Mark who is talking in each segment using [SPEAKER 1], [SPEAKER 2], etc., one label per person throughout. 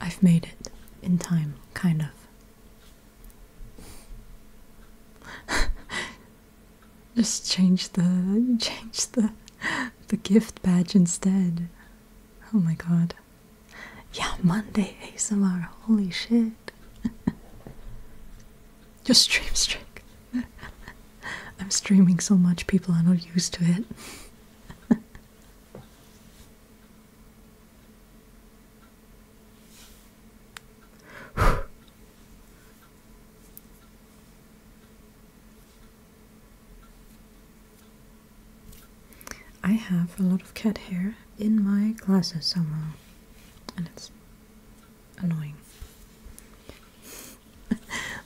[SPEAKER 1] I've made it in time, kind of. Just change the change the the gift badge instead. Oh my god. Yeah, Monday ASMR. Holy shit. Just stream stream. I'm streaming so much people are not used to it. I have a lot of cat hair in my glasses somehow, and it's annoying.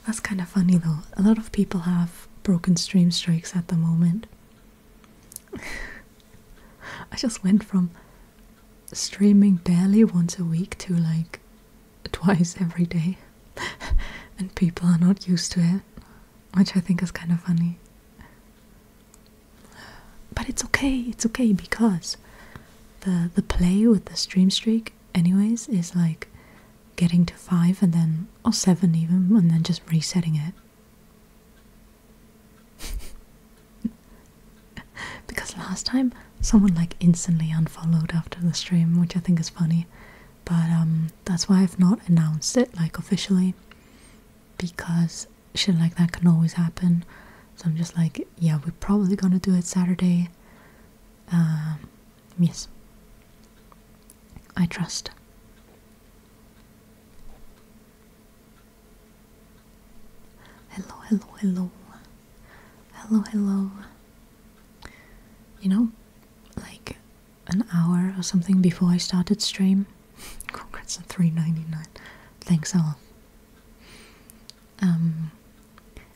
[SPEAKER 1] That's kind of funny though. A lot of people have broken stream strikes at the moment, I just went from streaming daily once a week to like twice every day, and people are not used to it, which I think is kind of funny. But it's okay, it's okay because the the play with the stream streak anyways is like getting to five and then or seven even and then just resetting it because last time someone like instantly unfollowed after the stream which i think is funny but um that's why i've not announced it like officially because shit like that can always happen so i'm just like yeah we're probably gonna do it saturday um, yes i trust Hello, hello, hello. Hello, hello. You know, like an hour or something before I started stream. Congrats on 399. Thanks all. Um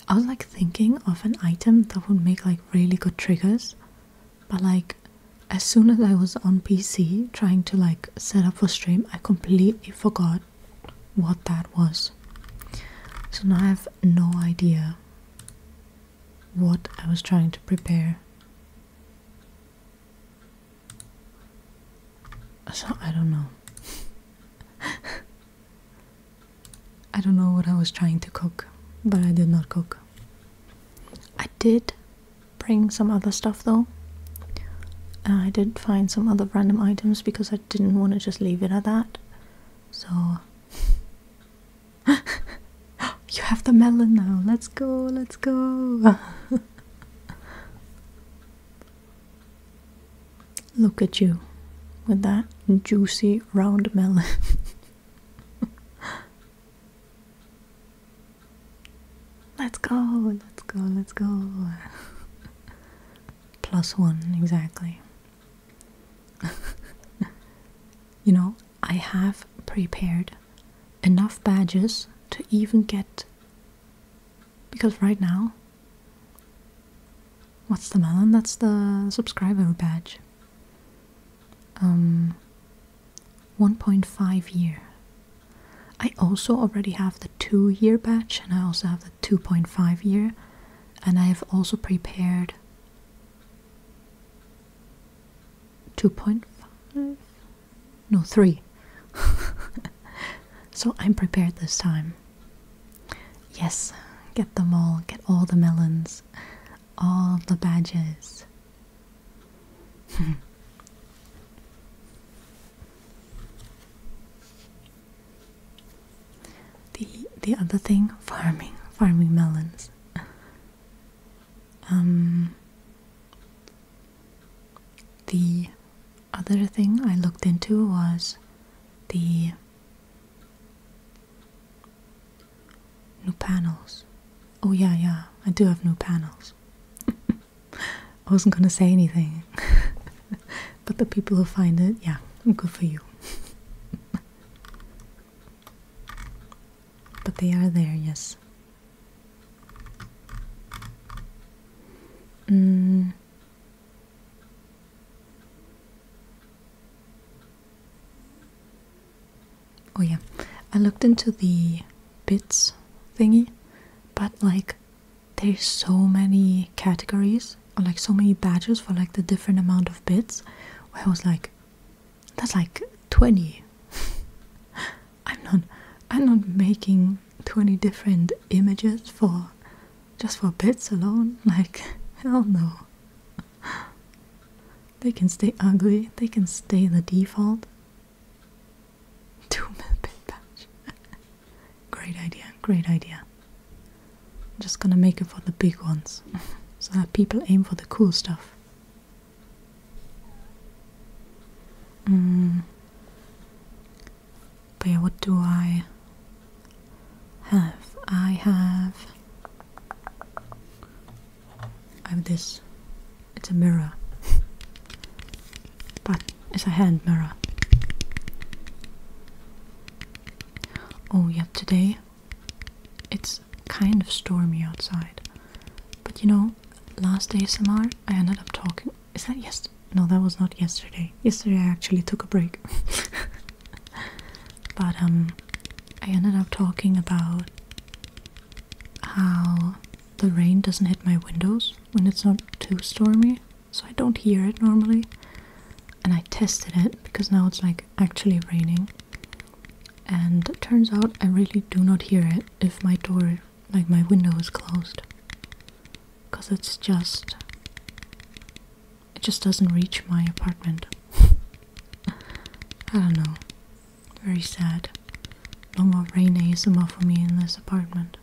[SPEAKER 1] I was like thinking of an item that would make like really good triggers but like as soon as I was on PC trying to like set up for stream, I completely forgot what that was. So now I have no idea what I was trying to prepare. So I don't know. I don't know what I was trying to cook, but I did not cook. I did bring some other stuff though. Uh, I did find some other random items because I didn't want to just leave it at that. So. you have the melon now. Let's go, let's go. Look at you with that juicy round melon. Let's go, let's go, let's go. Plus one, exactly. you know, I have prepared enough badges to even get. Because right now, what's the melon? That's the subscriber badge um 1.5 year I also already have the 2 year batch and I also have the 2.5 year and I have also prepared 2.5 no 3 so I'm prepared this time yes get them all get all the melons all the badges the the other thing, farming, farming melons. Um the other thing I looked into was the New panels. Oh, yeah, yeah, I do have new panels. I wasn't gonna say anything, but the people who find it, yeah, good for you. but they are there, yes. Mm oh yeah, I looked into the bits thingy, but like there's so many categories or like so many badges for like the different amount of bits where I was like that's like 20 I'm not I'm not making 20 different images for just for bits alone like hell no they can stay ugly they can stay the default Two pit patch. great idea, great idea. I'm just gonna make it for the big ones so that people aim for the cool stuff. Mm. But what do I have? I have I have this. It's a mirror. but it's a hand mirror. Oh, yeah, today it's kind of stormy outside. But you know, last ASMR I ended up talking. Is that yes? No, that was not yesterday. Yesterday I actually took a break. but um, I ended up talking about how the rain doesn't hit my windows when it's not too stormy, so I don't hear it normally. And I tested it because now it's like actually raining. And turns out I really do not hear it if my door, like my window, is closed. Because it's just. It just doesn't reach my apartment. I don't know. Very sad. No more rain ASMR for me in this apartment.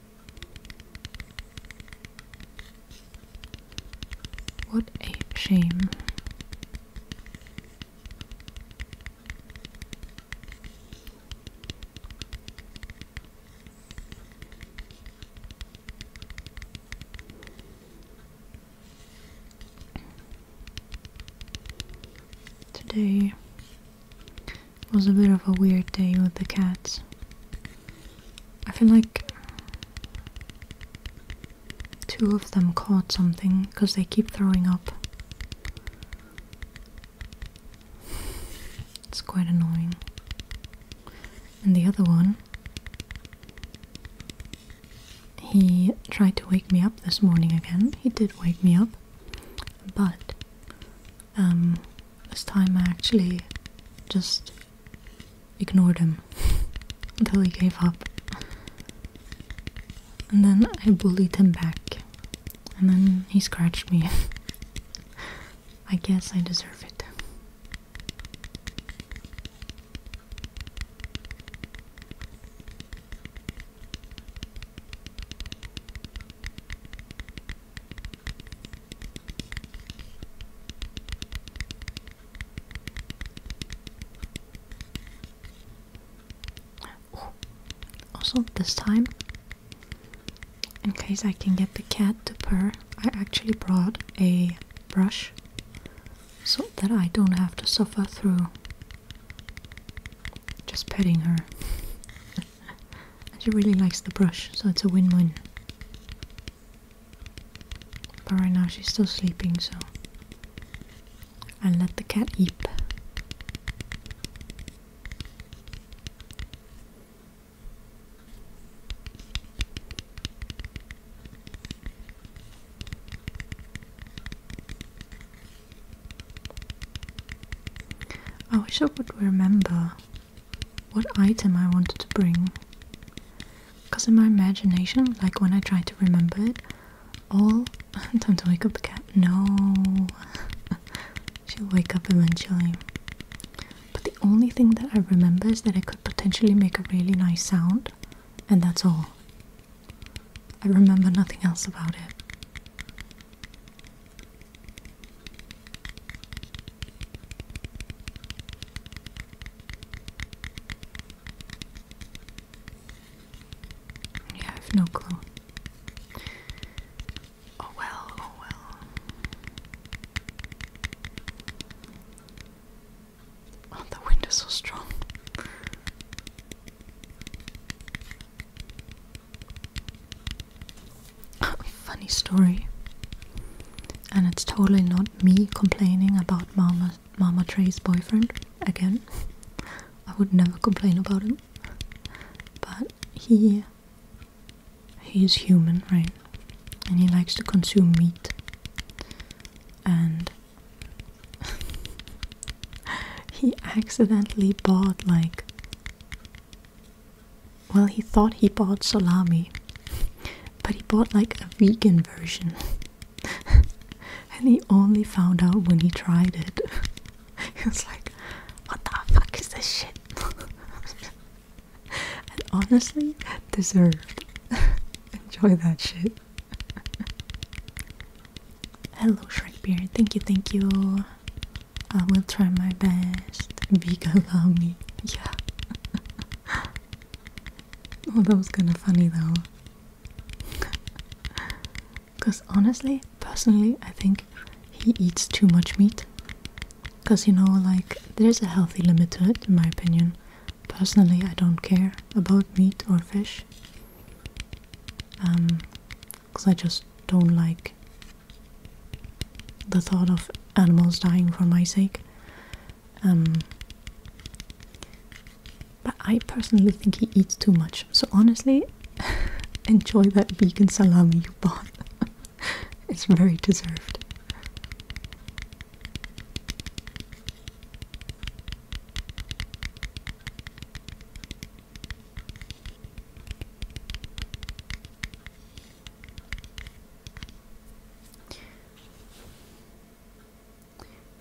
[SPEAKER 1] What a shame. Today was a bit of a weird day with the cats. I feel like two of them caught something because they keep throwing up. It's quite annoying. And the other one, he tried to wake me up this morning again. He did wake me up. But um, this time I actually just ignored him until he gave up. And then I bullied him back. And then he scratched me. I guess I deserve it also, this time, in case I can get the cat to purr, I actually brought a brush so that I don't have to suffer through just petting her. and she really likes the brush, so it's a win-win. But right now she's still sleeping, so I'll let the cat eep. I wish I could remember what item I wanted to bring. Because in my imagination, like when I try to remember it, all. Time to wake up the cat. No. She'll wake up eventually. But the only thing that I remember is that it could potentially make a really nice sound, and that's all. I remember nothing else about it. Yeah, have no clue. Oh well, oh well. Oh, the wind is so strong. Funny story, and it's totally not me complaining about Mama Mama Trey's boyfriend again. I would never complain about him, but he he is human, right? And he likes to consume meat, and he accidentally bought like well, he thought he bought salami, but he bought like a vegan version. and he only found out when he tried it. he was like, what the fuck is this shit? and honestly, deserved. Enjoy that shit. Hello, Shrekbeard. Thank you, thank you. I will try my best. Big love me. Yeah. Oh, that was kind of funny though. Because honestly, personally, I think he eats too much meat. Because you know, like, there's a healthy limit to it, in my opinion. Personally, I don't care about meat or fish. Um, because I just don't like the thought of animals dying for my sake. Um, but I personally think he eats too much, so honestly, enjoy that vegan salami you bought. it's very deserved.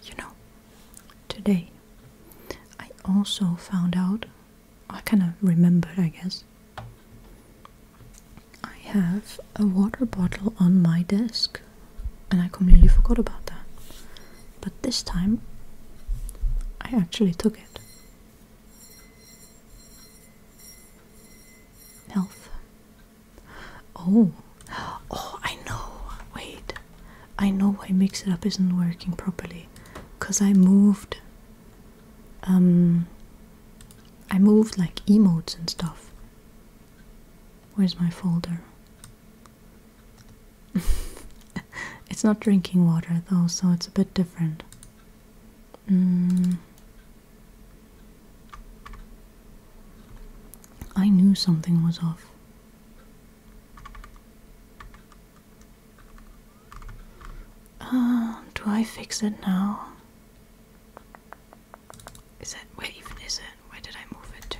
[SPEAKER 1] You know, today I also found out, I kind of remembered, I guess. I have a water bottle on my desk, and I completely forgot about that. But this time I actually took it. Health. Oh, oh, I know. Wait, I know why Mix It Up isn't working properly. Because I moved. Um, I moved like emotes and stuff. Where's my folder? it's not drinking water though, so it's a bit different. Mm. I knew something was off. Uh, do I fix it now? Is it where even is it? Where did I move it to?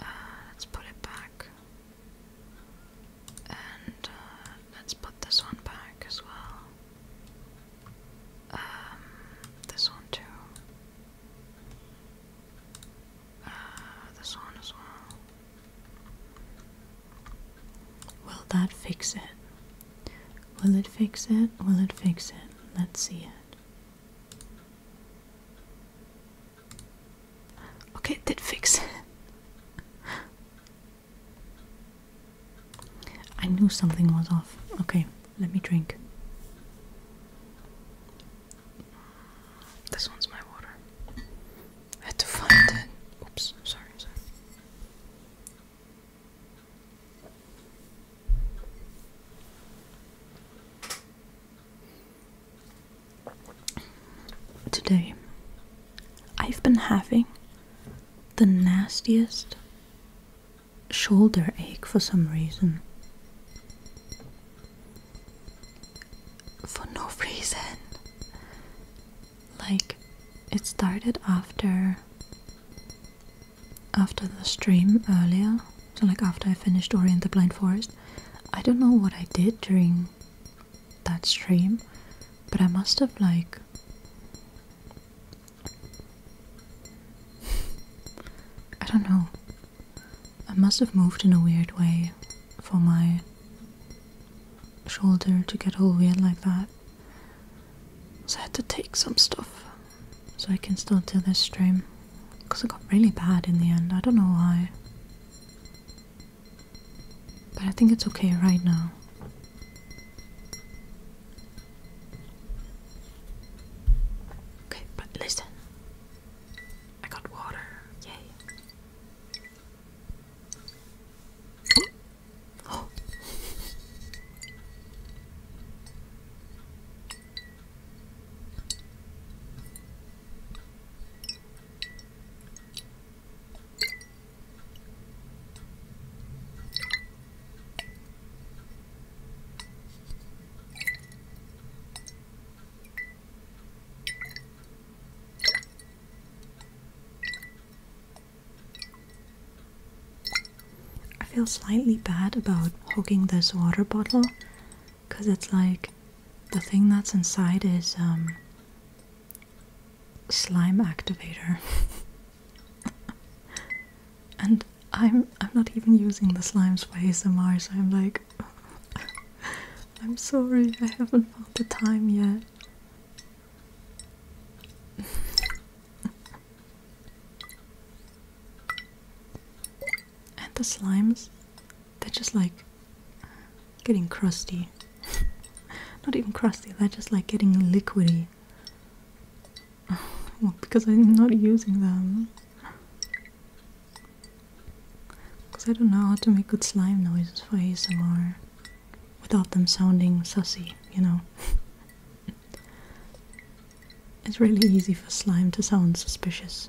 [SPEAKER 1] Uh, let's put it back. And uh, let's put this one back as well. Um, this one too. Uh, this one as well. Will that fix it? Will it fix it? Will it fix it? Let's see it. Okay, it did fix. I knew something was off. Okay, let me drink. This one's my water. I had to find it. Oops, sorry, sorry. Today, I've been having the nastiest shoulder ache for some reason. For no reason. Like, it started after after the stream earlier so like after i finished ori and the blind forest i don't know what i did during that stream, but I must have like I don't know. I must have moved in a weird way for my shoulder to get all weird like that. So I had to take some stuff so I can still do this stream. Because it got really bad in the end. I don't know why. But I think it's okay right now. Okay, but listen. I got water. Yay. Oh. I feel slightly bad about hogging this water bottle because it's like the thing that's inside is um slime activator. and I'm I'm not even using the slimes for ASMR, so I'm like I'm sorry, I haven't found the time yet. and the slimes, they're just like getting crusty. Not even crusty, they're just like getting liquidy. because I'm not using them. Because I don't know how to make good slime noises for ASMR without them sounding sussy, you know. it's really easy for slime to sound suspicious.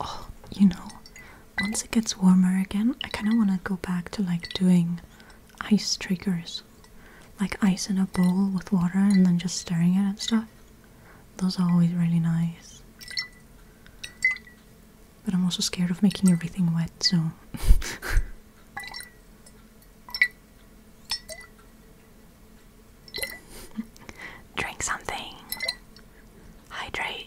[SPEAKER 1] oh, you know, once it gets warmer again, I kind of want to go back to like doing ice triggers. Like ice in a bowl with water and then just stirring it and stuff. Those are always really nice. But I'm also scared of making everything wet, so. Drink something. Hydrate.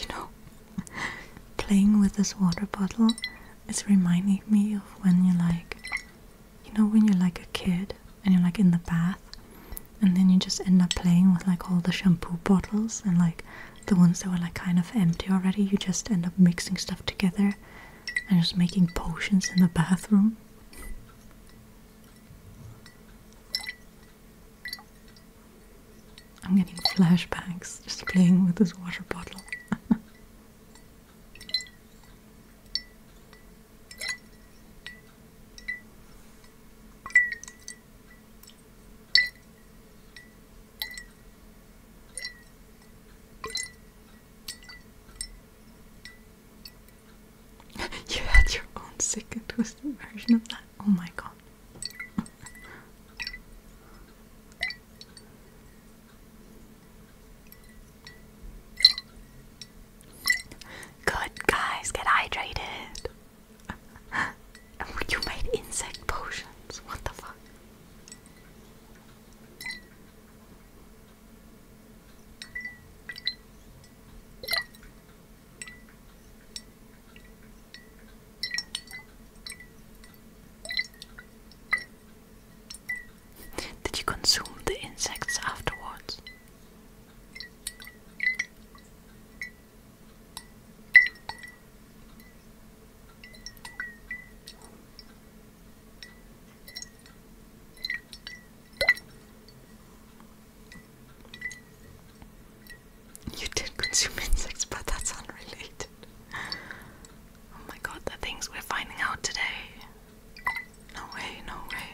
[SPEAKER 1] You know, playing with this water bottle is reminding me of when you like, you know, when you're like a kid and you're like in the bath and then you just end up playing with like all the shampoo bottles and like the ones that were like kind of empty already, you just end up mixing stuff together and just making potions in the bathroom. I'm getting flashbacks just playing with this water bottle. you had your own sick and twisted version of that? Oh my god. Good guys, get hydrated. you made insect potions. What the fuck? Did you consume the insects afterwards? You did consume insects, but that's unrelated. Oh my god, the things we're finding out today. No way, no way.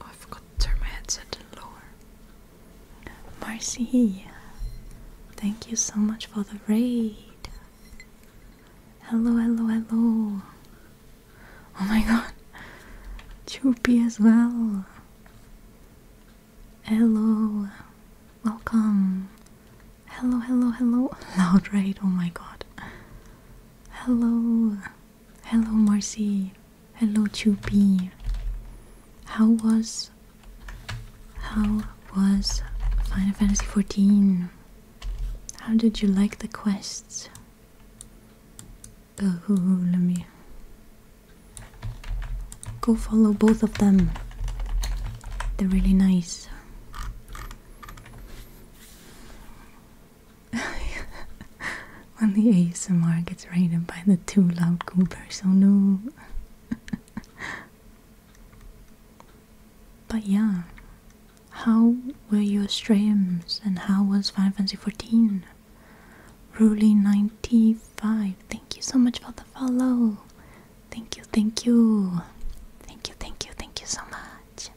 [SPEAKER 1] Oh, I forgot to turn my headset lower. Marcy, thank you so much for the raid. Hello, hello, hello. Oh my god. Choopy as well. Hello. Welcome. Hello, hello, hello. Loud right, oh my god. Hello. Hello Marcy. Hello Choopy. How was how was Final Fantasy XIV? How did you like the quests? let me go follow both of them. They're really nice. when the ASMR gets raided by the two loud Coopers, oh no. but yeah, how were your streams and how was Final Fantasy 14? Ruly95, thank you so much for the follow. Thank you, thank you. Thank you, thank you, thank you so much.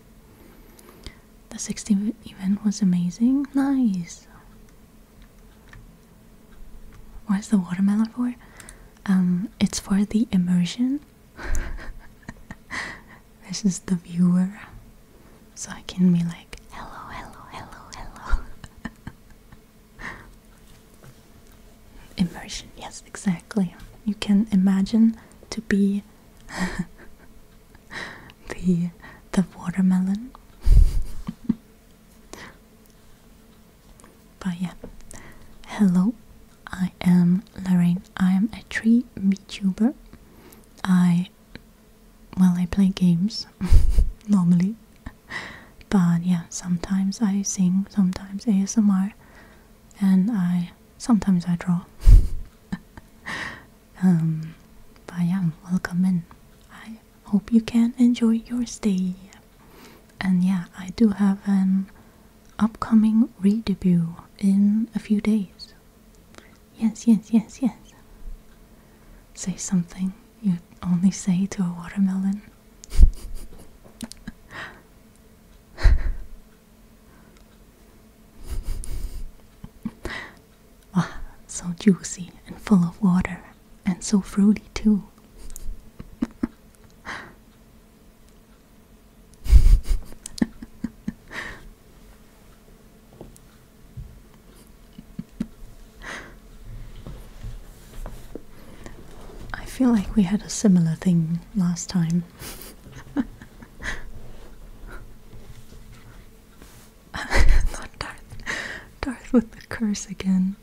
[SPEAKER 1] The 16th event was amazing. Nice. What's the watermelon for? Um, it's for the immersion. this is the viewer so I can be like, hello, hello, hello, hello. Immersion, yes, exactly. You can imagine to be the the watermelon. but yeah, hello. I am Lorraine. I am a tree VTuber. I well, I play games normally, but yeah, sometimes I sing, sometimes ASMR, and I sometimes I draw. um, but yeah, welcome in. I hope you can enjoy your stay. And yeah, I do have an upcoming re-debut in a few days. Yes, yes, yes, yes. Say something you only say to a watermelon. wow, so juicy and full of water, and so fruity too. I feel like we had a similar thing last time. Not Darth. Darth with the curse again.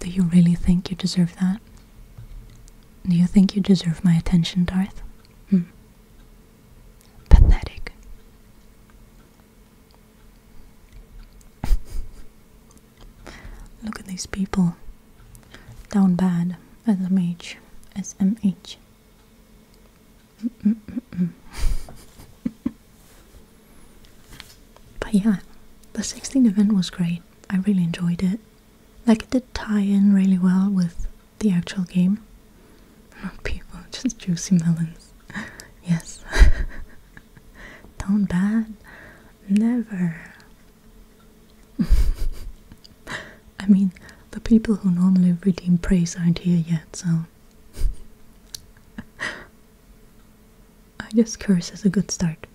[SPEAKER 1] Do you really think you deserve that? Do you think you deserve my attention, Darth? Hmm. Pathetic. Look at these people. Down bad. SMH. SMH. but yeah, the 16th event was great. I really enjoyed it. Like it did tie in really well with the actual game. Oh, people, just juicy melons. yes. Don't bad. Never. I mean, the people who normally redeem praise aren't here yet, so. I guess curse is a good start.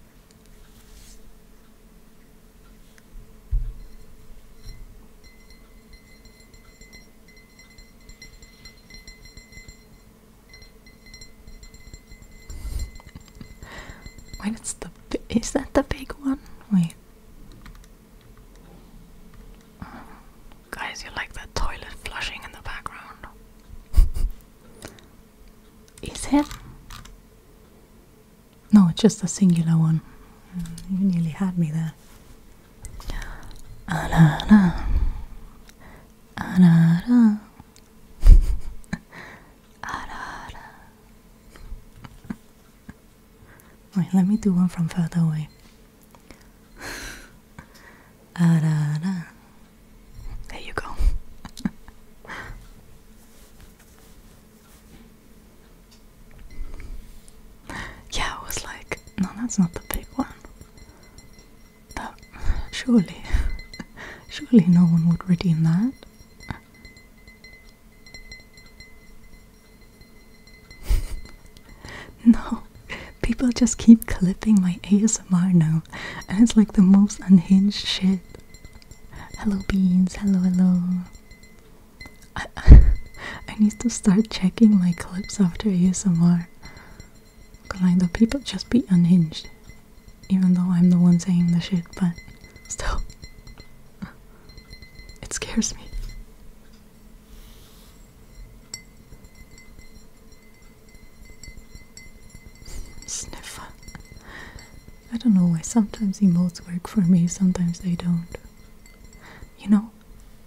[SPEAKER 1] Wait, is that the big one? Wait, guys, you like that toilet flushing in the background? is it? No, just a singular one. Mm, you nearly had me there. Arara. Arara. Arara. Wait, let me do one from further away. Arara. Ah, there you go. Yeah, I was like, no, that's not the big one. That surely, surely no one would redeem that. no, people just keep clipping my ASMR now, and it's like the most unhinged shit. Hello, beans. Hello, hello. I, I need to start checking my clips after ASMR. Cause I know people just be unhinged. Even though I'm the one saying the shit, but still. It scares me. Sniff. I don't know why sometimes emojis work for me, sometimes they don't. You know,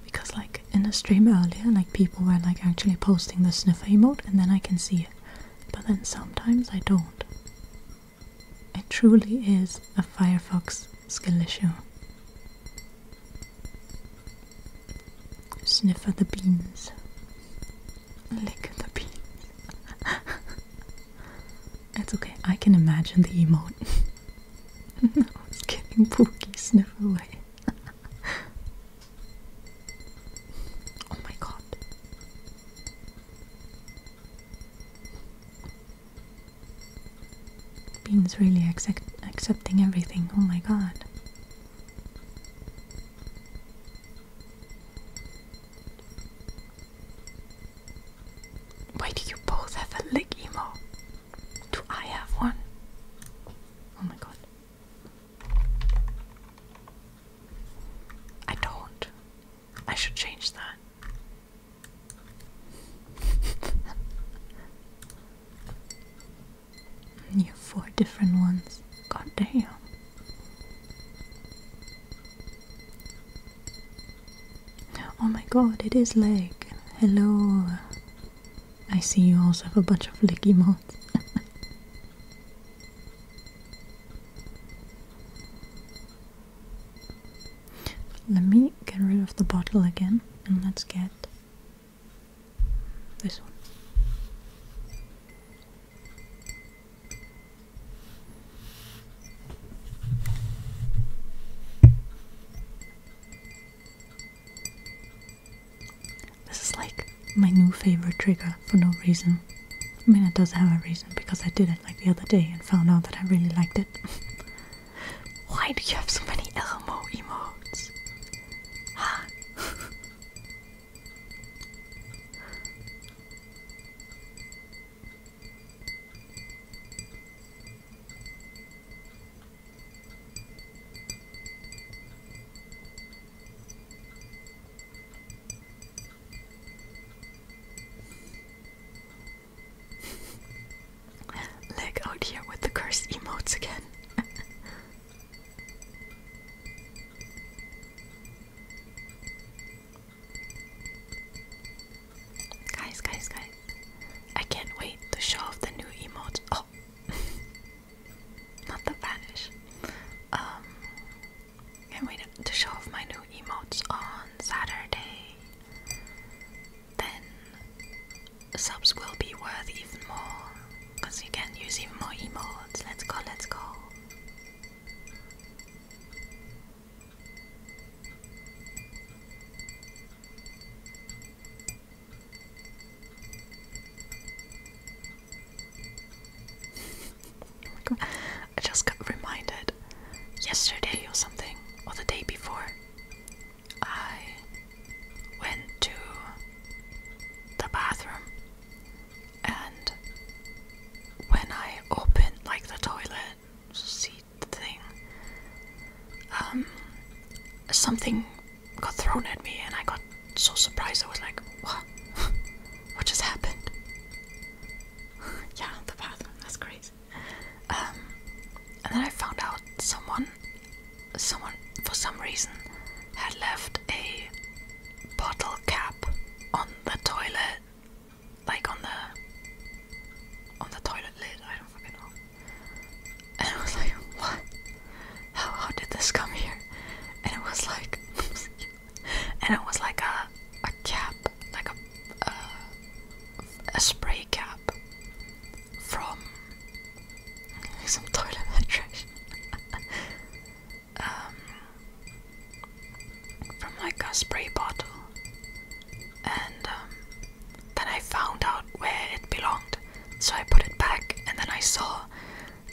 [SPEAKER 1] because like in the stream earlier like people were like actually posting the sniffer emote and then I can see it but then sometimes I don't it truly is a Firefox skill issue Sniff sniffer the beans lick the beans it's okay I can imagine the emote no, it's getting pokey sniff away. oh my god. Bean's really accept accepting everything. Oh my god. Why do you both have a lick emo? Do I have one? Oh my god. I don't. I should change that. you have four different ones. God damn. Oh my god, it is like Hello. I see you also have a bunch of licky mods. Let me get rid of the bottle again and let's get this one. This is like my new favorite trigger for no reason. I mean, it does have a reason because I did it like the other day and found out that I really liked it. Why do you have so many Elmo emotes? Huh? Leg out here with the cursed emotes again. guys, guys, guys. I can't wait to show off the new emotes. Oh, not the vanish. Um, can't to show off my new emotes on Saturday. Then subs will be worth even more because you can use even more emotes. Let's go, let's go. I just got reminded yesterday or something, or the day before, I went to the bathroom and when I opened like the toilet seat thing, um, something got thrown at me, and I got so surprised. I was like, "What? what just happened?" yeah, the bathroom. That's crazy. Um, and then I found out someone, someone for some reason, had left a bottle cap on the toilet, like on the on the toilet lid. I don't fucking know. And I was like, what? How how did this come here? And it was like, and it was like a a cap, like a a, a spray cap from some toilet penetration. um, from like a spray bottle, and um, then I found out where it belonged, so I put it back, and then I saw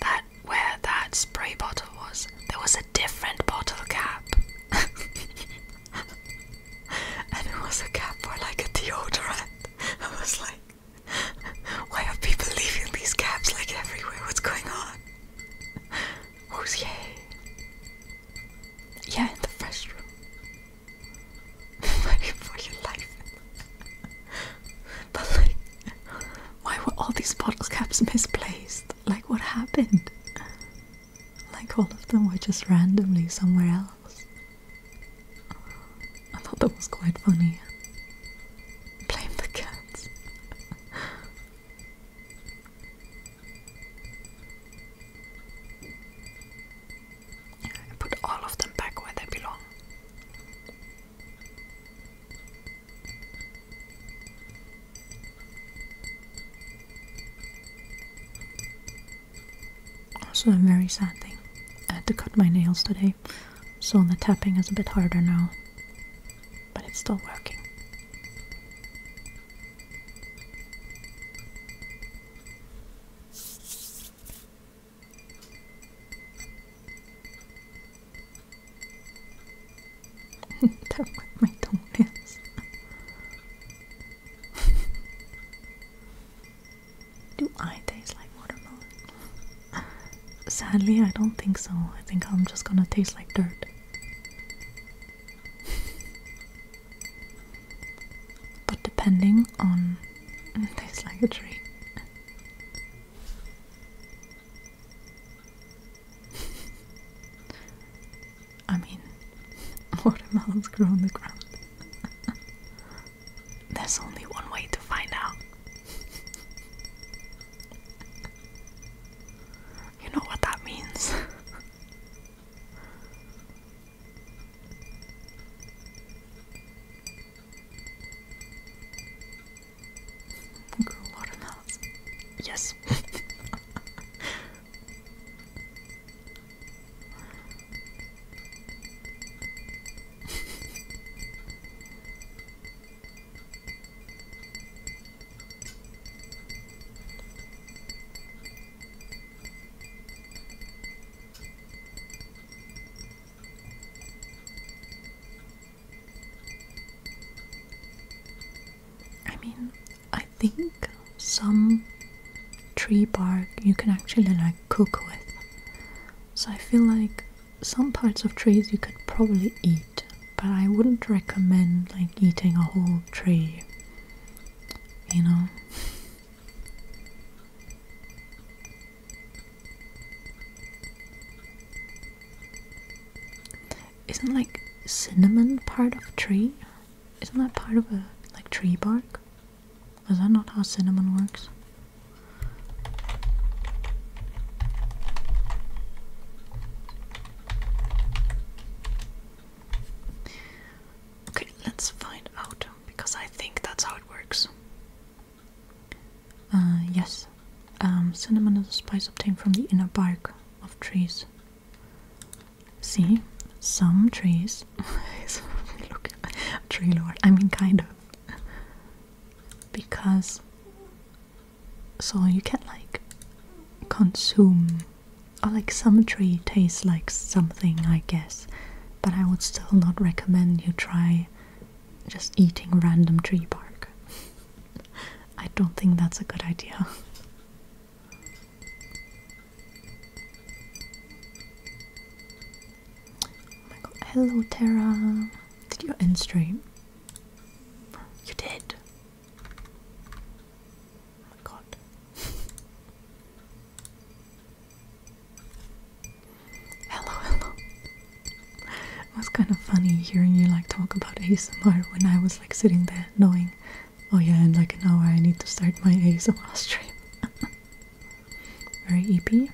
[SPEAKER 1] that where that spray bottle was, there was a different bottle cap. and it was a cap for like a deodorant. I was like, why are people leaving these caps like everywhere? What's going on? Who's yay? Yeah, in the fresh room for your life. but like, why were all these bottle caps misplaced? Like, what happened? Like, all of them were just randomly somewhere else. I thought that was quite funny. Blame the cats put all of them back where they belong. Also, a very sad thing. I had to cut my nails today, so the tapping is a bit harder now, but it's still working do my toenails. Do I taste like watermelon? Sadly, I don't think so. I think I'm just gonna taste like dirt. but depending on. It tastes like a tree. I mean, watermelons grow on the ground. There's only one way to find out. you know what that means. Grow a lot Yes. I mean, I think some tree bark you can actually like cook with. So I feel like some parts of trees you could probably eat, but I wouldn't recommend like eating a whole tree. You know? Isn't like cinnamon part of a tree? Isn't that part of a like tree bark? Is that not how cinnamon works? Okay, let's find out because I think that's how it works. Uh, yes. Um, cinnamon is a spice obtained from the inner bark of trees. See, some trees. Look, tree lord. I mean, kind of. because. So you can like consume, or like some tree tastes like something, I guess. But I would still not recommend you try just eating random tree bark. I don't think that's a good idea. Oh my god. Hello Terra! Did you end stream? You did! Oh my god. Hello, hello. It was kind of funny hearing you like talk about ASMR when I was like sitting there knowing, oh yeah, in like an hour I need to start my ASMR stream. Very EP.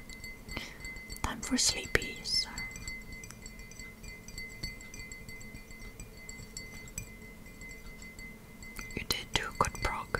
[SPEAKER 1] Time for sleepies. You did do good prog.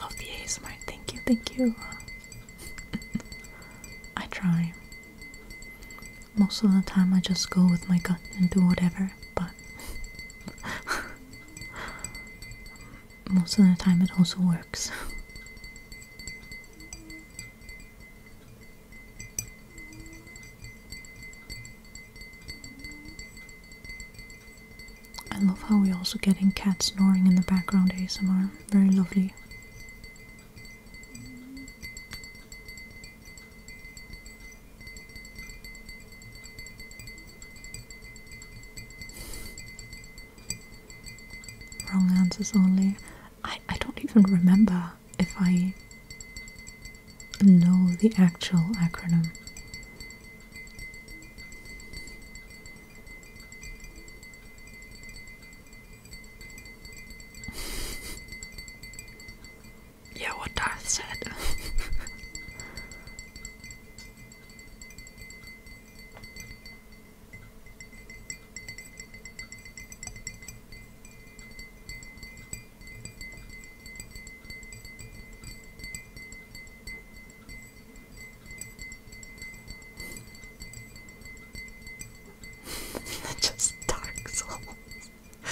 [SPEAKER 1] Love the ASMR. Thank you, thank you. I try. Most of the time, I just go with my gut and do whatever, but most of the time, it also works. I love how we're also getting cats snoring in the background ASMR. Very lovely. Wrong answers only. I I don't even remember if I know the actual acronym. yeah, what Darth said. Just Dark Souls.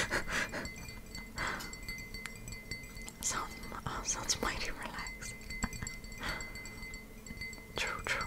[SPEAKER 1] sounds oh, sounds mighty relaxing. true, true.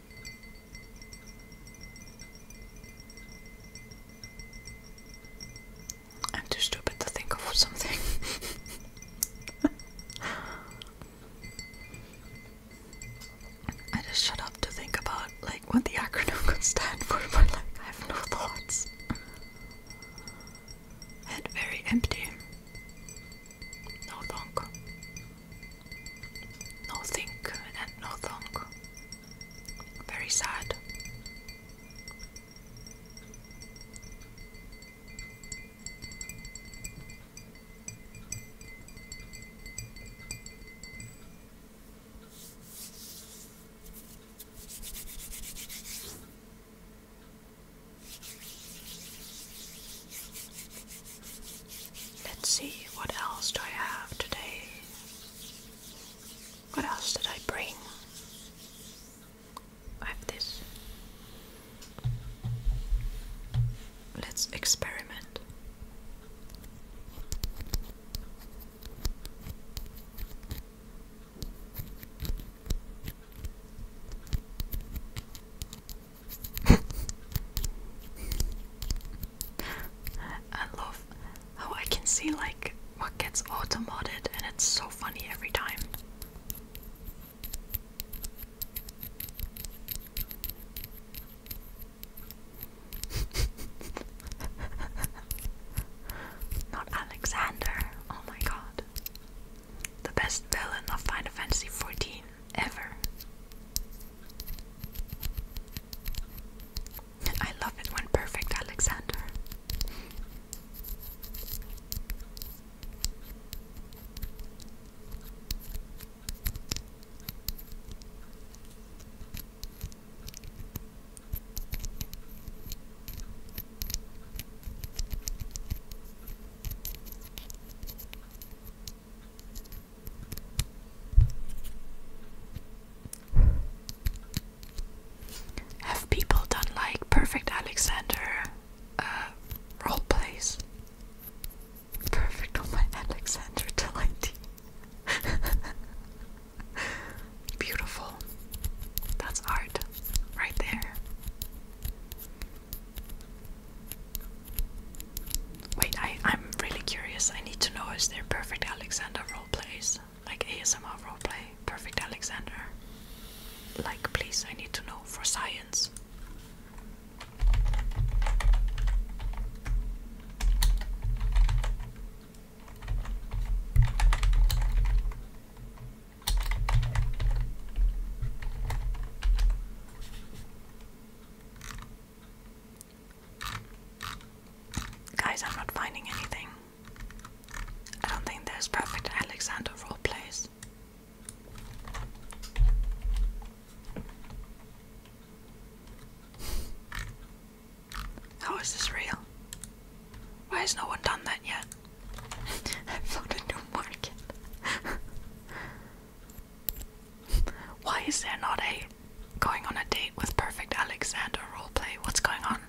[SPEAKER 1] I'm too stupid to think of something. I just shut up to think about like what the acronym could for, but like I have no thoughts. Head very empty. No thong. No think and no thong. Very sad. Let's see, what else do I have today? What else did I bring? I have this. Let's experiment. I love how I can see like what gets automodded and it's so funny every time. Not Alexander. Oh my god. The best villain of Final Fantasy XIV ever. I love it when perfect, Alexander. Have people done like Perfect Alexander uh, role plays? Perfect on my Alexander Delighty. Beautiful. That's art right there. Wait, I, I'm really curious. I need to know is there perfect Alexander roleplays? Like ASMR roleplay? Perfect Alexander? Like, please, I need to know for science. Guys, I'm not finding anything. I don't think there's perfect Alexander role plays. How is this real? Why has no one done that yet? I found a new market. Why is there not a going on a date with perfect Alexander roleplay? What's going on?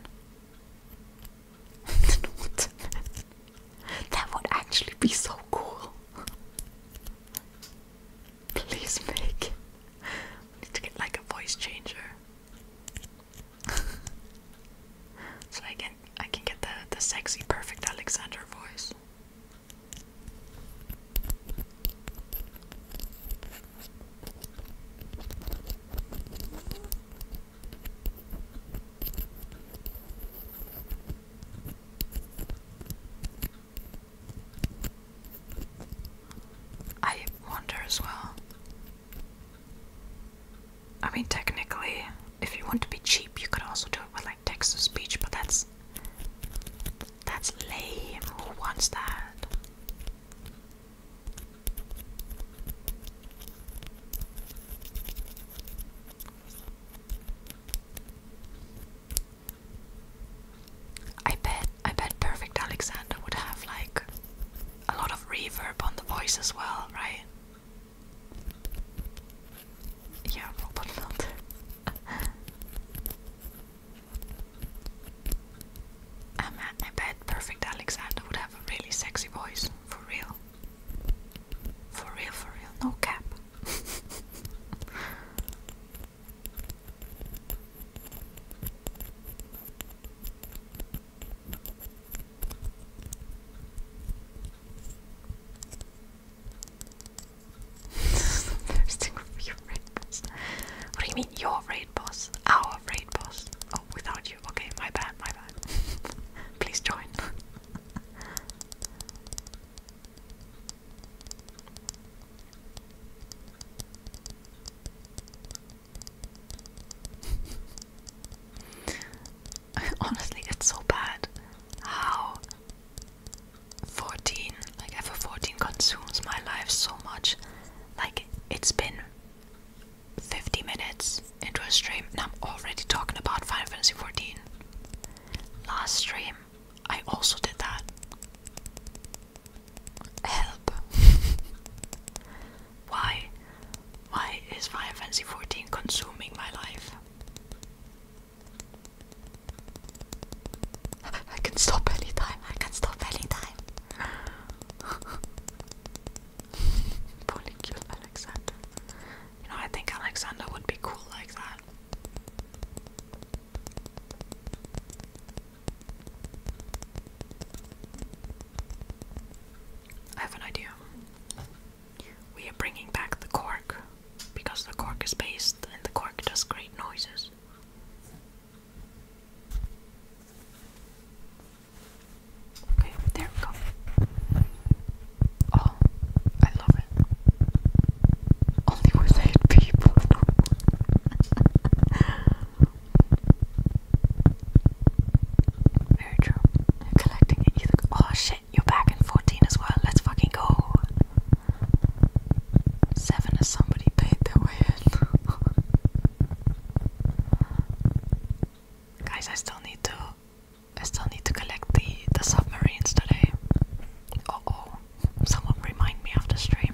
[SPEAKER 1] that would actually be so cool. Please make. need to get like a voice changer. so I can I can get the the sexy perfect Alexander voice. I wonder as well. I mean, technically, if you want to be cheap, you could also do it with like Texas speech, but that's that's lame. Who wants that? I bet I bet Perfect Alexander would have like a lot of reverb on the voice as well, right? Yeah, robot I bet Perfect Alexander would have a really sexy voice, for real. For real, for real, no cap. What do you mean your raid boss? Our raid boss. Oh, without you. Okay, my bad, my bad. Please join. Honestly, it's so bad how 14, like ever, 14 consumes my life so much. Like, it's been 50 minutes into a stream and I'm already talking about Final Fantasy 14. Last stream, I also did that. Help. Why? Why is Final Fantasy 14 consuming my life? I can stop anytime. I can stop anytime. Poorly cute Alexander. You know, I think Alexander would be cool like that. I have an idea. We are bringing back the cork because the cork is based and the cork does great noises. Okay, there we go. Oh, I love it. Only with eight people. Very true. Collecting it. You think, oh shit, you're back in 14 as well. Let's fucking go. Seven of somebody paid their way in. Guys, I still need to I still need to collect the the submarines today. Uh oh. Someone remind me of the stream.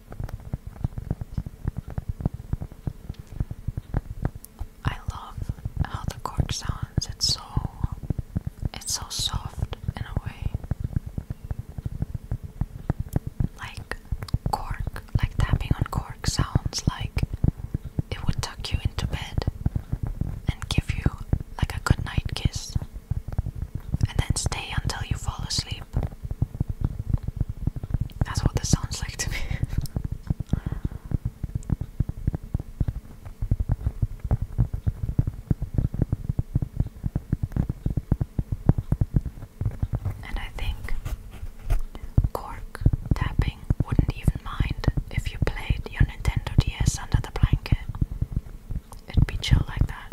[SPEAKER 1] I love how the chord sounds. It's so it's so soft in a way. Like cork, like tapping on cork sounds like it would tuck you into bed and give you like a good kiss and then stay until you fall asleep. That's what this sounds like to me. and I think Cork tapping wouldn't even mind if you played your Nintendo DS under the blanket. It'd be chill like that.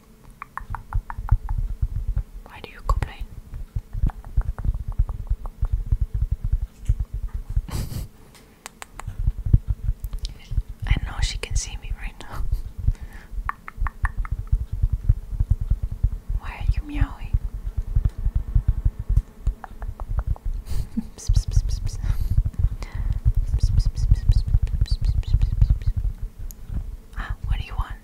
[SPEAKER 1] Why do you complain? I know she can see me right now. Why are you meowing? Ah, what do you want?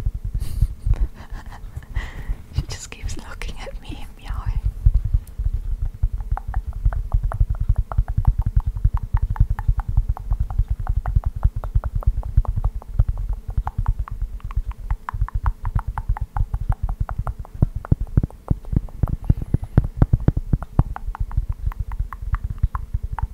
[SPEAKER 1] she just keeps looking at me and meowing.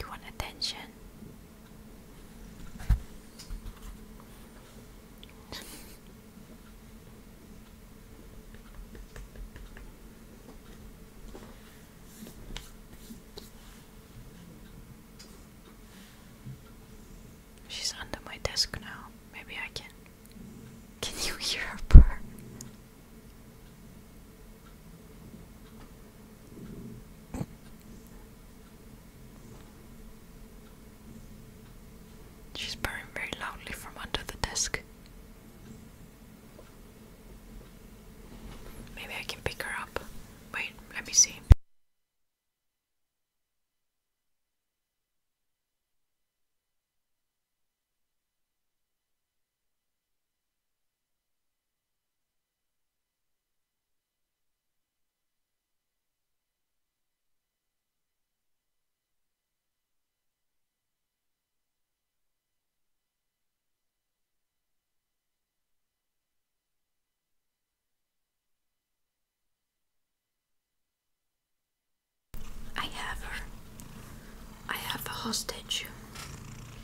[SPEAKER 1] You want attention? She's under my desk now. Maybe I can. Can you hear her purr? She's purring very loudly from under the desk. Maybe I can pick her up. Wait, let me see. I have her. I have a hostage.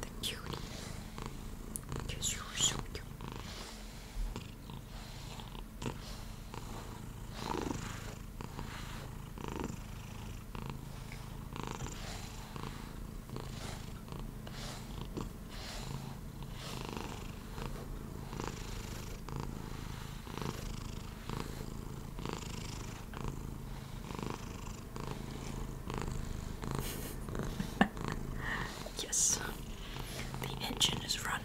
[SPEAKER 1] The cutie. you were so cute. yes, the engine is running.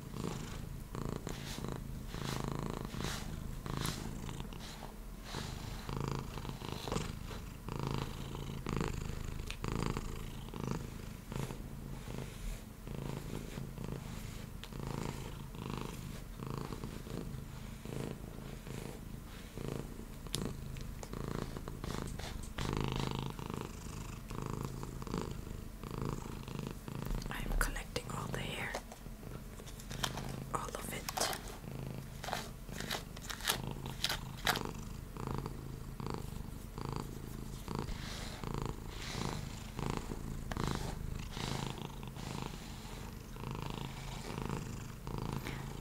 [SPEAKER 1] I'm connecting all the hair all of it.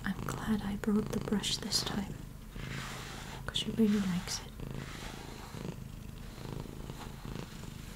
[SPEAKER 1] I'm glad I brought the brush this time because she really likes it.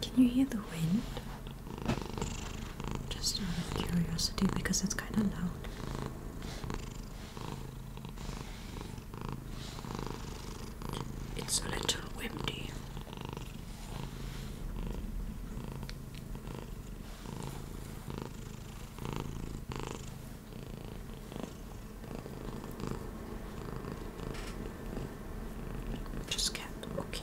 [SPEAKER 1] Can you hear the wind? Just out of curiosity because it's kind of loud. It's a little windy. Just cat, okay.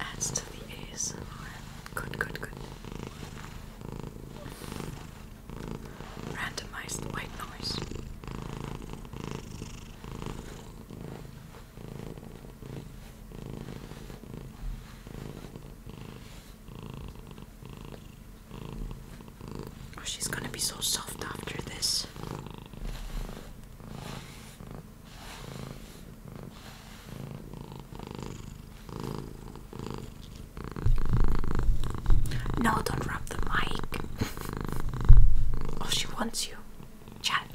[SPEAKER 1] Adds to the ASMR. Good, good, good. Randomized white noise. Oh, she's gonna be so soft after this. No, don't rub the mic. oh, she wants you. Chat.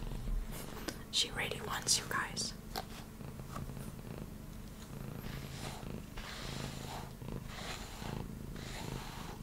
[SPEAKER 1] She really wants you guys.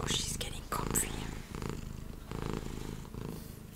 [SPEAKER 1] Oh, she's getting comfy.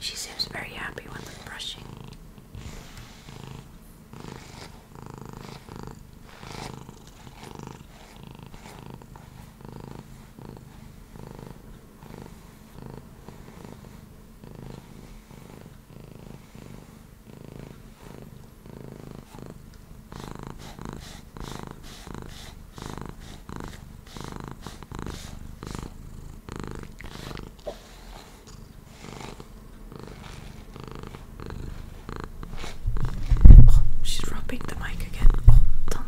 [SPEAKER 1] She seems very happy when we're brushing. Oh, she's rubbing the mic again. Oh, done.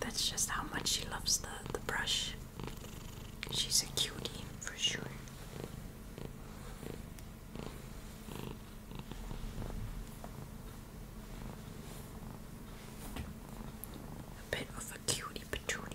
[SPEAKER 1] That's just how much she loves the, the brush. She's a cutie for sure. A bit of a cutie patootie.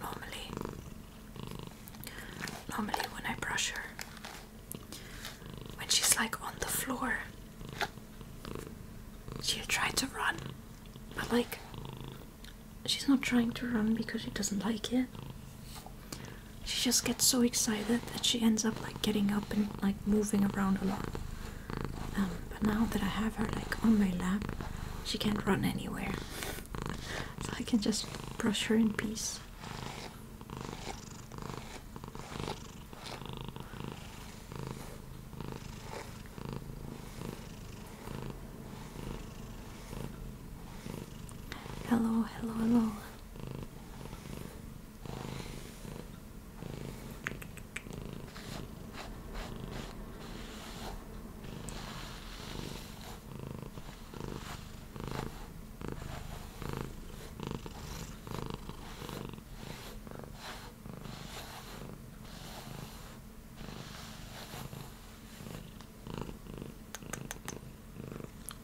[SPEAKER 1] normally, normally when I brush her, when she's like on the floor, she'll try to run, but like she's not trying to run because she doesn't like it. She just gets so excited that she ends up like getting up and like moving around a lot. Um, but now that I have her like on my lap, she can't run anywhere. I can just brush her in peace. Hello, hello, hello.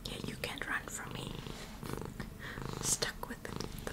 [SPEAKER 1] Yeah, you can't run from me. Stuck with the, the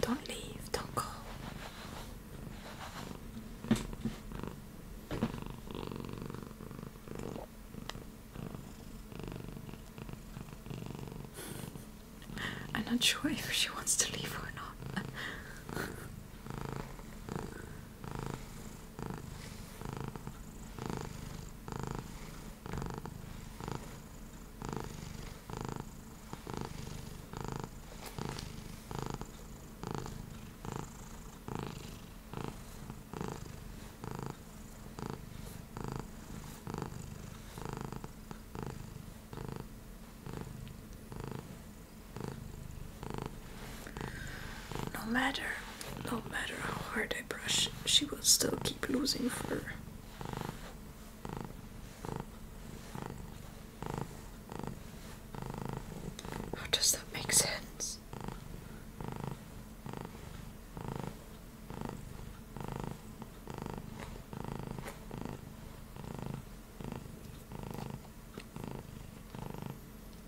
[SPEAKER 1] don't leave, don't go. I'm not sure if she wants to leave or not. No matter, no matter how hard I brush, she will still keep losing fur. How does that make sense?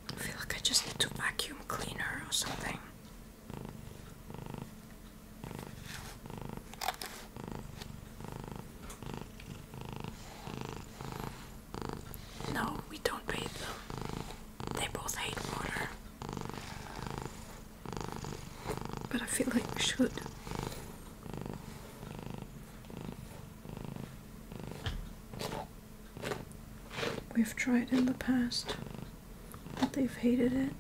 [SPEAKER 1] I feel like I just need to vacuum cleaner or something. No, we don't bathe them. They both hate water. But I feel like we should. We've tried in the past, but they've hated it.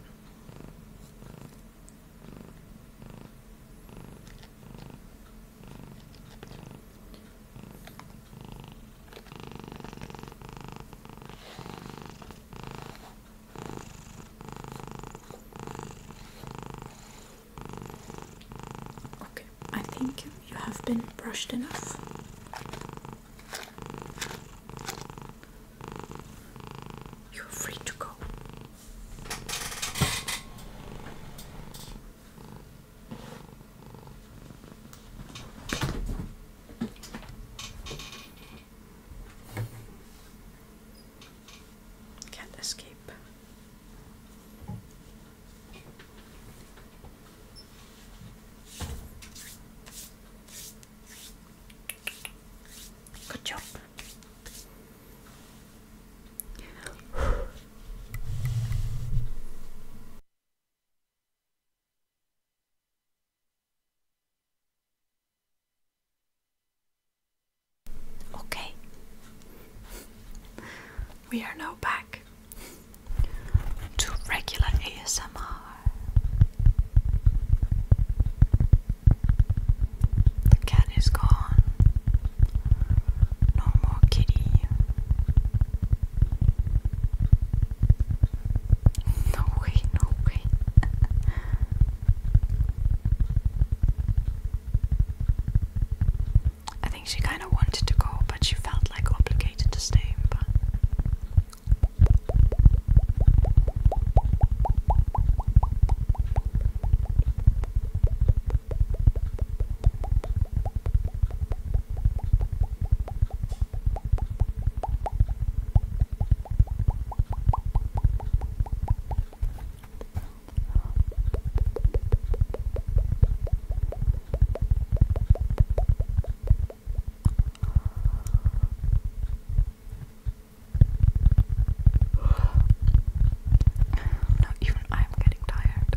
[SPEAKER 1] Okay, I think you have been brushed enough. You're free to go. Can't escape. Good job. Okay. we are now back to regular ASMR. The cat is gone. No more kitty. No way, no way. I think she kind of wanted to go, but she felt like obligated to stay. No, even I'm getting tired.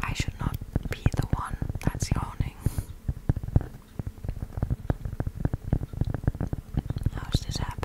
[SPEAKER 1] I should not be the one that's yawning. How's this happening?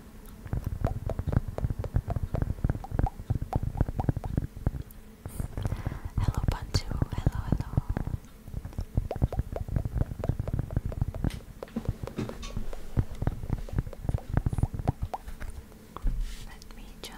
[SPEAKER 1] Hello, Pantu. Hello, hello. Let me just.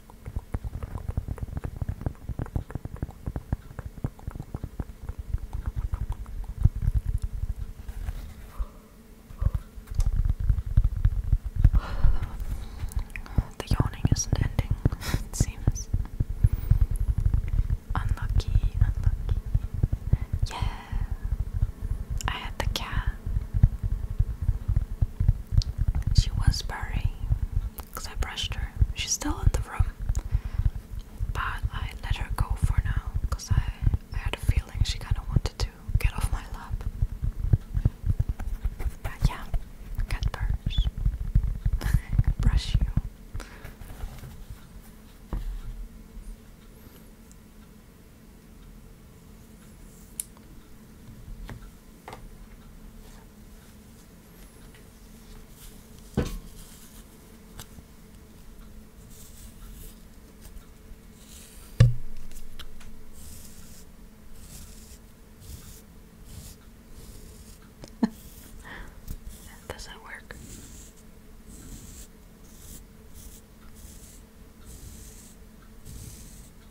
[SPEAKER 1] The yawning isn't ending, it seems. Unlucky, unlucky. Yeah, I had the cat. She was purring, because I brushed her. She's still in the room, but I let her go for now because I, I had a feeling she kind of wanted to get off my lap. But yeah, cat brush. brush you that doesn't work.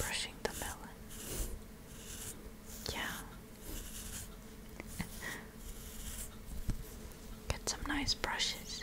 [SPEAKER 1] Brushing the melon. Yeah. Get some nice brushes.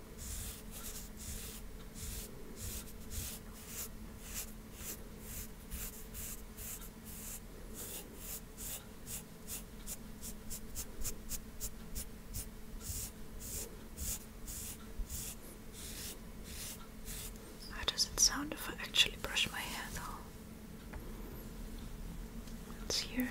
[SPEAKER 1] How does it sound if I actually brush my hair though? Let's hear it.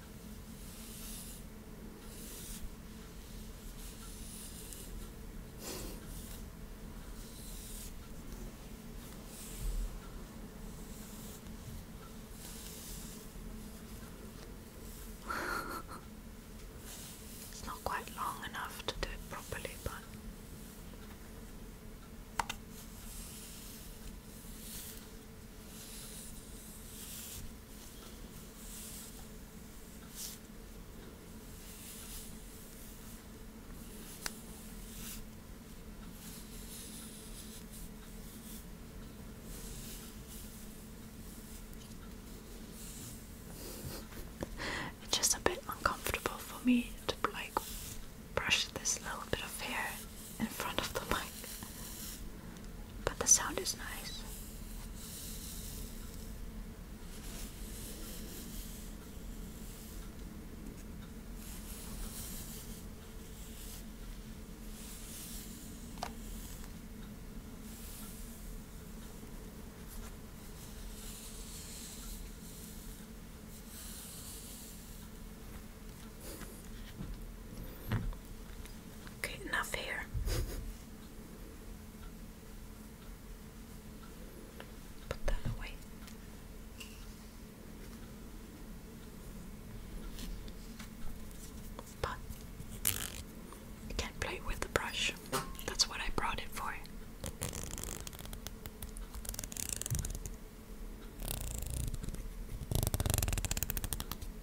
[SPEAKER 1] it's not quite long enough to do it properly, but it's just a bit uncomfortable for me to like brush this little bit of hair in front of the mic. But the sound is nice. Okay, enough here. Put that away. can't play with the brush. That's what I brought it for.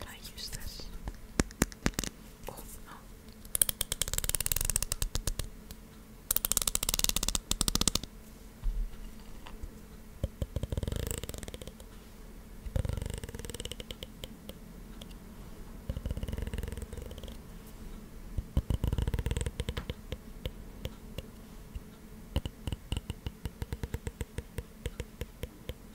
[SPEAKER 1] Can I use this? Oh,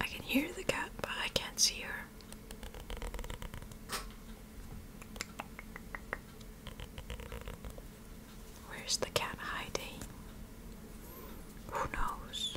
[SPEAKER 1] I can hear the cat, but I can't see her. Where's the cat hiding? Who knows?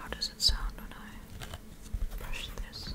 [SPEAKER 1] How does it sound when I brush this?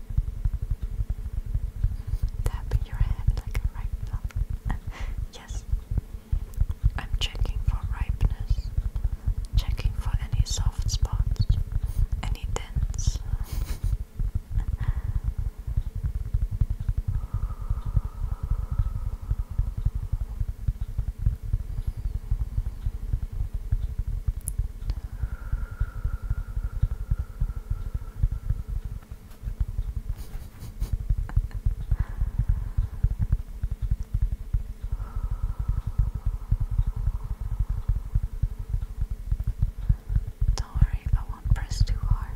[SPEAKER 1] Tapping your head like a ripe plum. yes. I'm checking for ripeness. Checking for any soft spots. Any dents. Don't worry, I won't press too hard.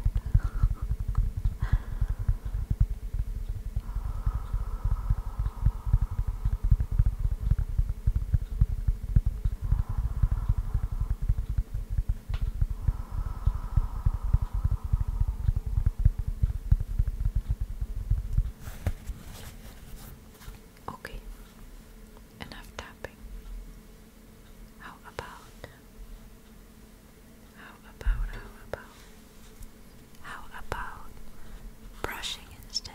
[SPEAKER 1] Okay, enough tapping. How about? How about, how about, how about brushing instead?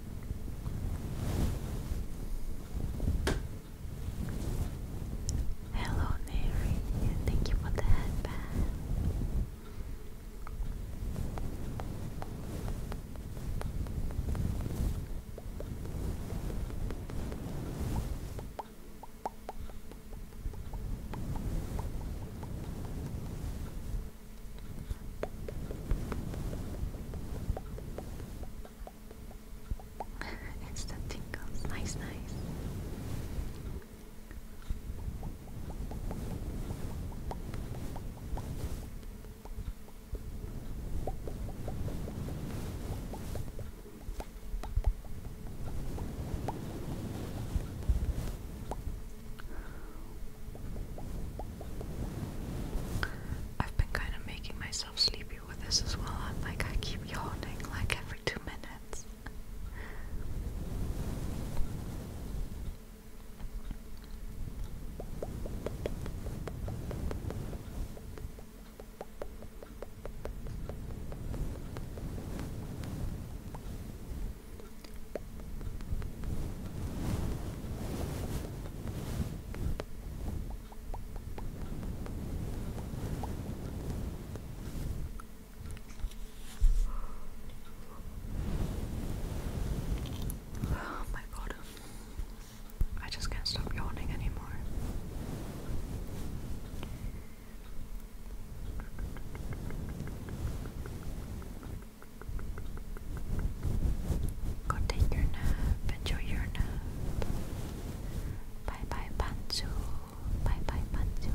[SPEAKER 1] Hello, Neri. Thank you for the help it's the tingles, nice, nice. I've been kind of making myself sleepy with this as well. I'm like, I keep yawning like every two minutes. Oh my god. I just can't stop yawning anymore. Go take your nap. Enjoy your nap. Bye bye, Panzu. Bye bye, Panzu.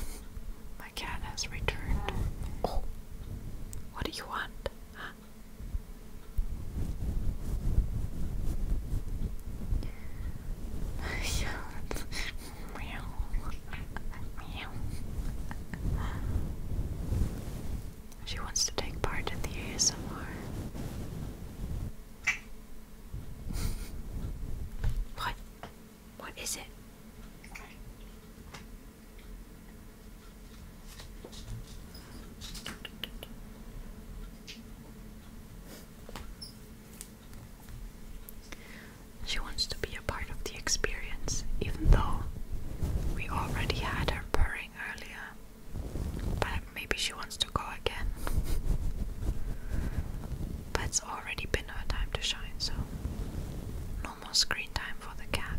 [SPEAKER 1] My cat has returned. Oh. what do you want? meow, meow. She wants to take part in the ASMR. what? What is it? She wants to be a part of the experience, even though we already had her purring earlier. But maybe she wants to go again. but it's already been her time to shine, so no more screen time for the cat.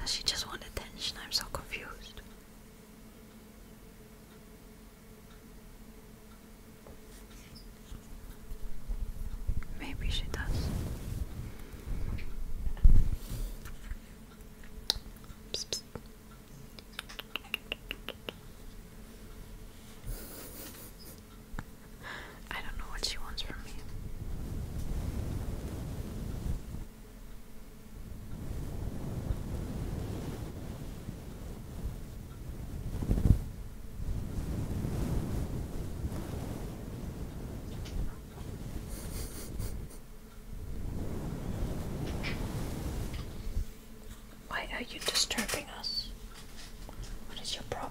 [SPEAKER 1] Does she just want attention? I'm so confused. Maybe she does. I don't know what she wants from me. Why are you disturbing us? What is your problem?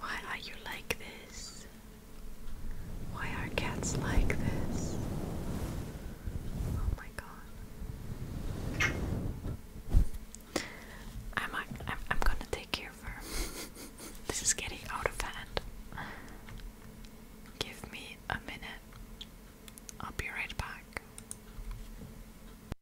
[SPEAKER 1] Why are you like this? Why are cats like this? Oh my god. I'm I'm, I'm gonna take care of her. this is getting out of hand. Give me a minute. I'll be right back.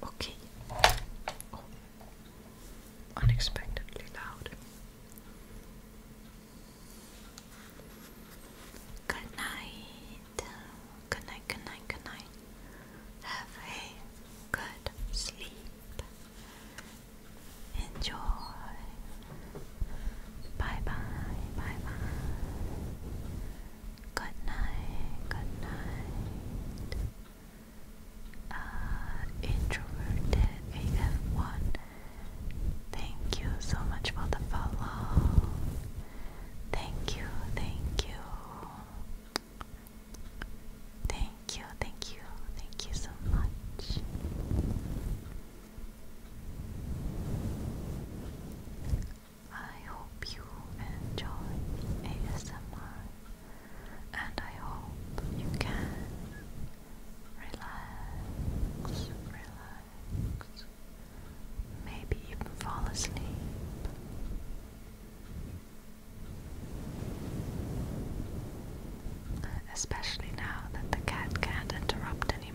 [SPEAKER 1] Okay. Oh. Unexpectedly loud. Good night. Good night, good night, good night. Have a good sleep. Enjoy. Bye bye, bye bye. Good night, good night. Uh, introverted AF1. Thank you so much for the follow. Thank you, thank you. Thank you, thank you, thank you so much. I hope you enjoy ASMR and I hope you can relax, relax, maybe even fall asleep. Especially now that the cat can't interrupt anymore.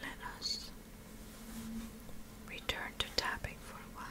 [SPEAKER 1] Let us return to tapping for a while.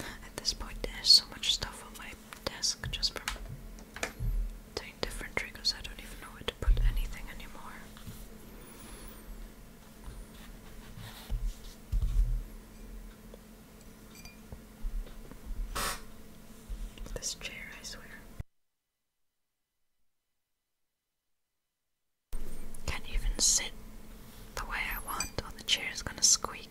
[SPEAKER 1] At this point, there's so much stuff on my desk just from doing different triggers, I don't even know where to put anything anymore. This chair, I swear. Can't even sit the way I want, or the chair is gonna squeak.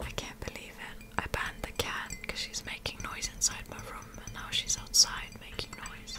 [SPEAKER 1] I can't believe it. I banned the cat because she's making noise inside my room and now she's outside making noise.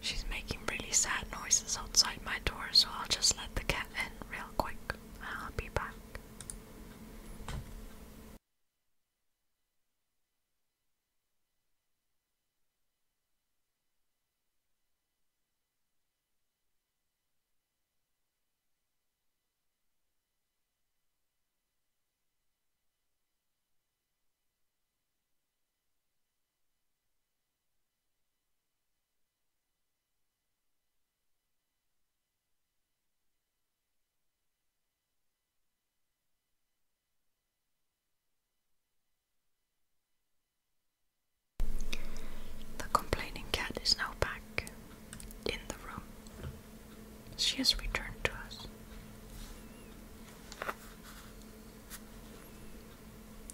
[SPEAKER 1] She's making really sad noises outside my door, so I'll just let the cat in real quick. I'll be back. The complaining cat is now back in the room. She has returned to us.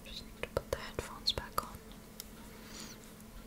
[SPEAKER 1] Just need to put the headphones back on.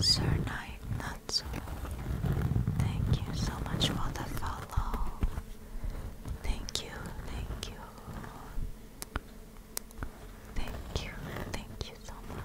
[SPEAKER 1] Sir Knight Natsu, thank you so much for the follow. Thank you, thank you. Thank you, thank you so much.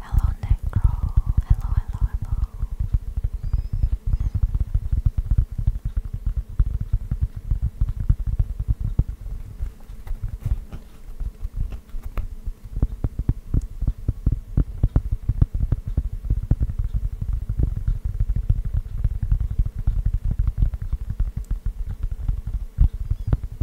[SPEAKER 1] Hello, Necro. Hello, hello, hello.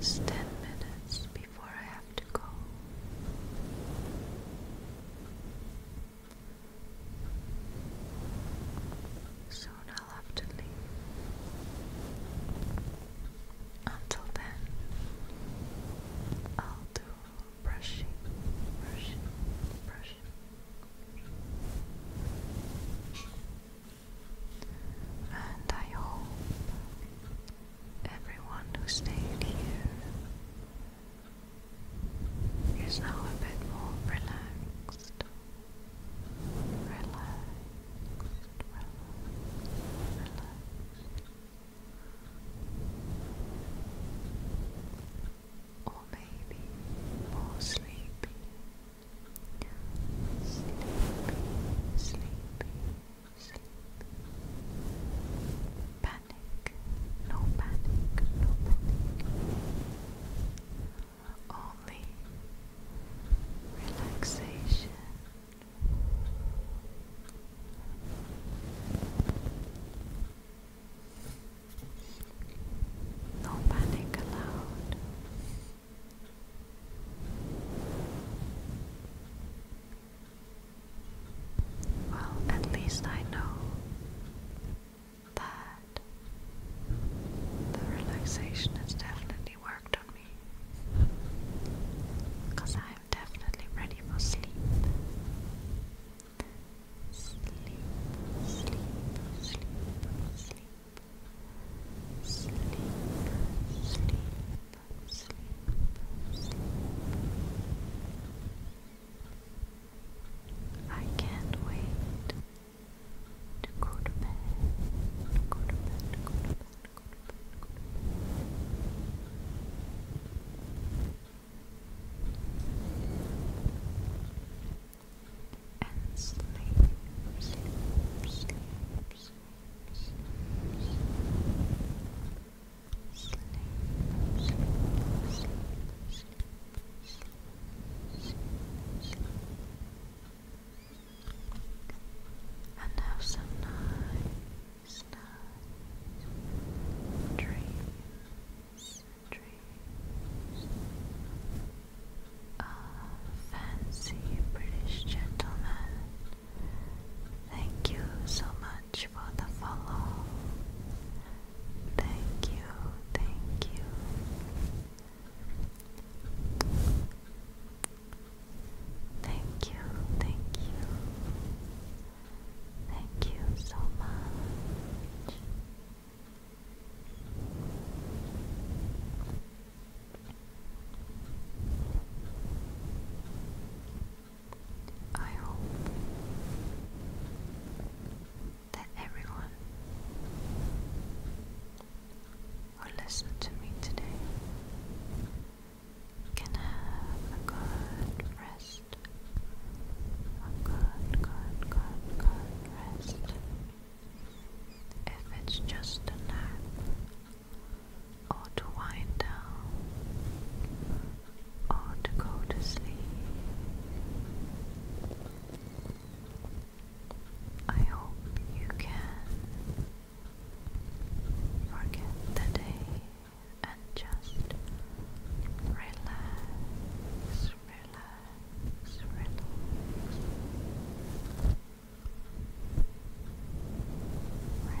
[SPEAKER 1] Last ten minutes before I have to go. Soon I'll have to leave. Until then, I'll do brushing, brushing, brushing. And I hope everyone who stayed here is now a bit more relaxed. Relaxed, relaxed, relaxed. Or maybe more sleepy, sleepy, sleepy sleep. Panic, no panic, no panic. Only relaxation. No panic allowed. Well, at least I know that the relaxation has definitely worked on me. I am definitely ready for sleep. Sleep, sleep, sleep, sleep. Sleep, sleep, sleep, sleep. I can't wait to go to bed, go to bed, to go to bed, to Go to bed. And sleep, sleep, sleep, sleep, sleep, sleep and have some nice, dreams, dreams of fancy British gentlemen. Thank you so much much for the follow. Thank you, thank you. Thank you, thank you. Thank you so much. I hope that everyone who listens to me today can have a good rest. A good, good, good, good rest. If it's just a nap, or to wind down or to go to sleep. I hope you can forget the day and just relax, relax, relax. Relax,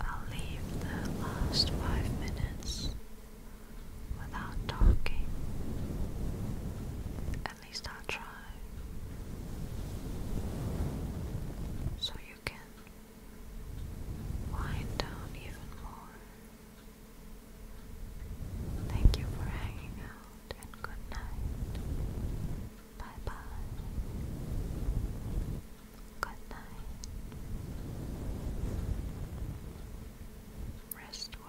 [SPEAKER 1] I'll leave the last five minutes without talking. At least I'll try. So you can wind down even more. Thank you for hanging out and good night. Bye bye. Good night. Rest well.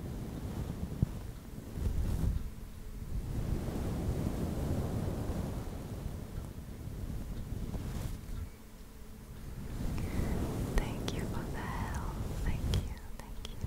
[SPEAKER 1] Thank you for the help. Thank you, thank you.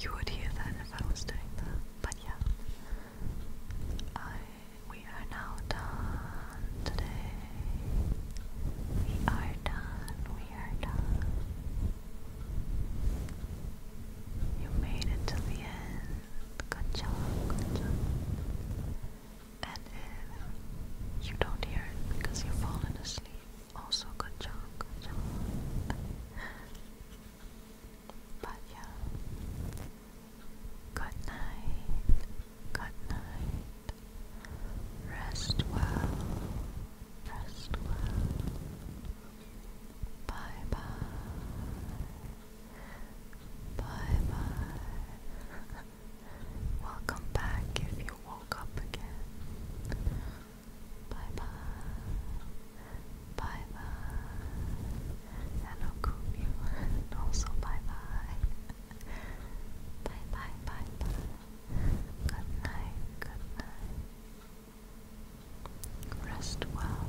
[SPEAKER 1] You would hear that if I was doing that, but yeah. I we are now done today. We are done. We are done. You made it to the end. Good job, good job. And if uh, you don't hear it because you've fallen asleep, also good job, good job. But Good night. Good night. Rest well. Rest well. Bye bye. Bye bye. Welcome back if you woke up again. Bye bye. Bye bye. Hello, Kubi. And also bye bye. Bye bye bye bye. Good night. Good night. Rest well.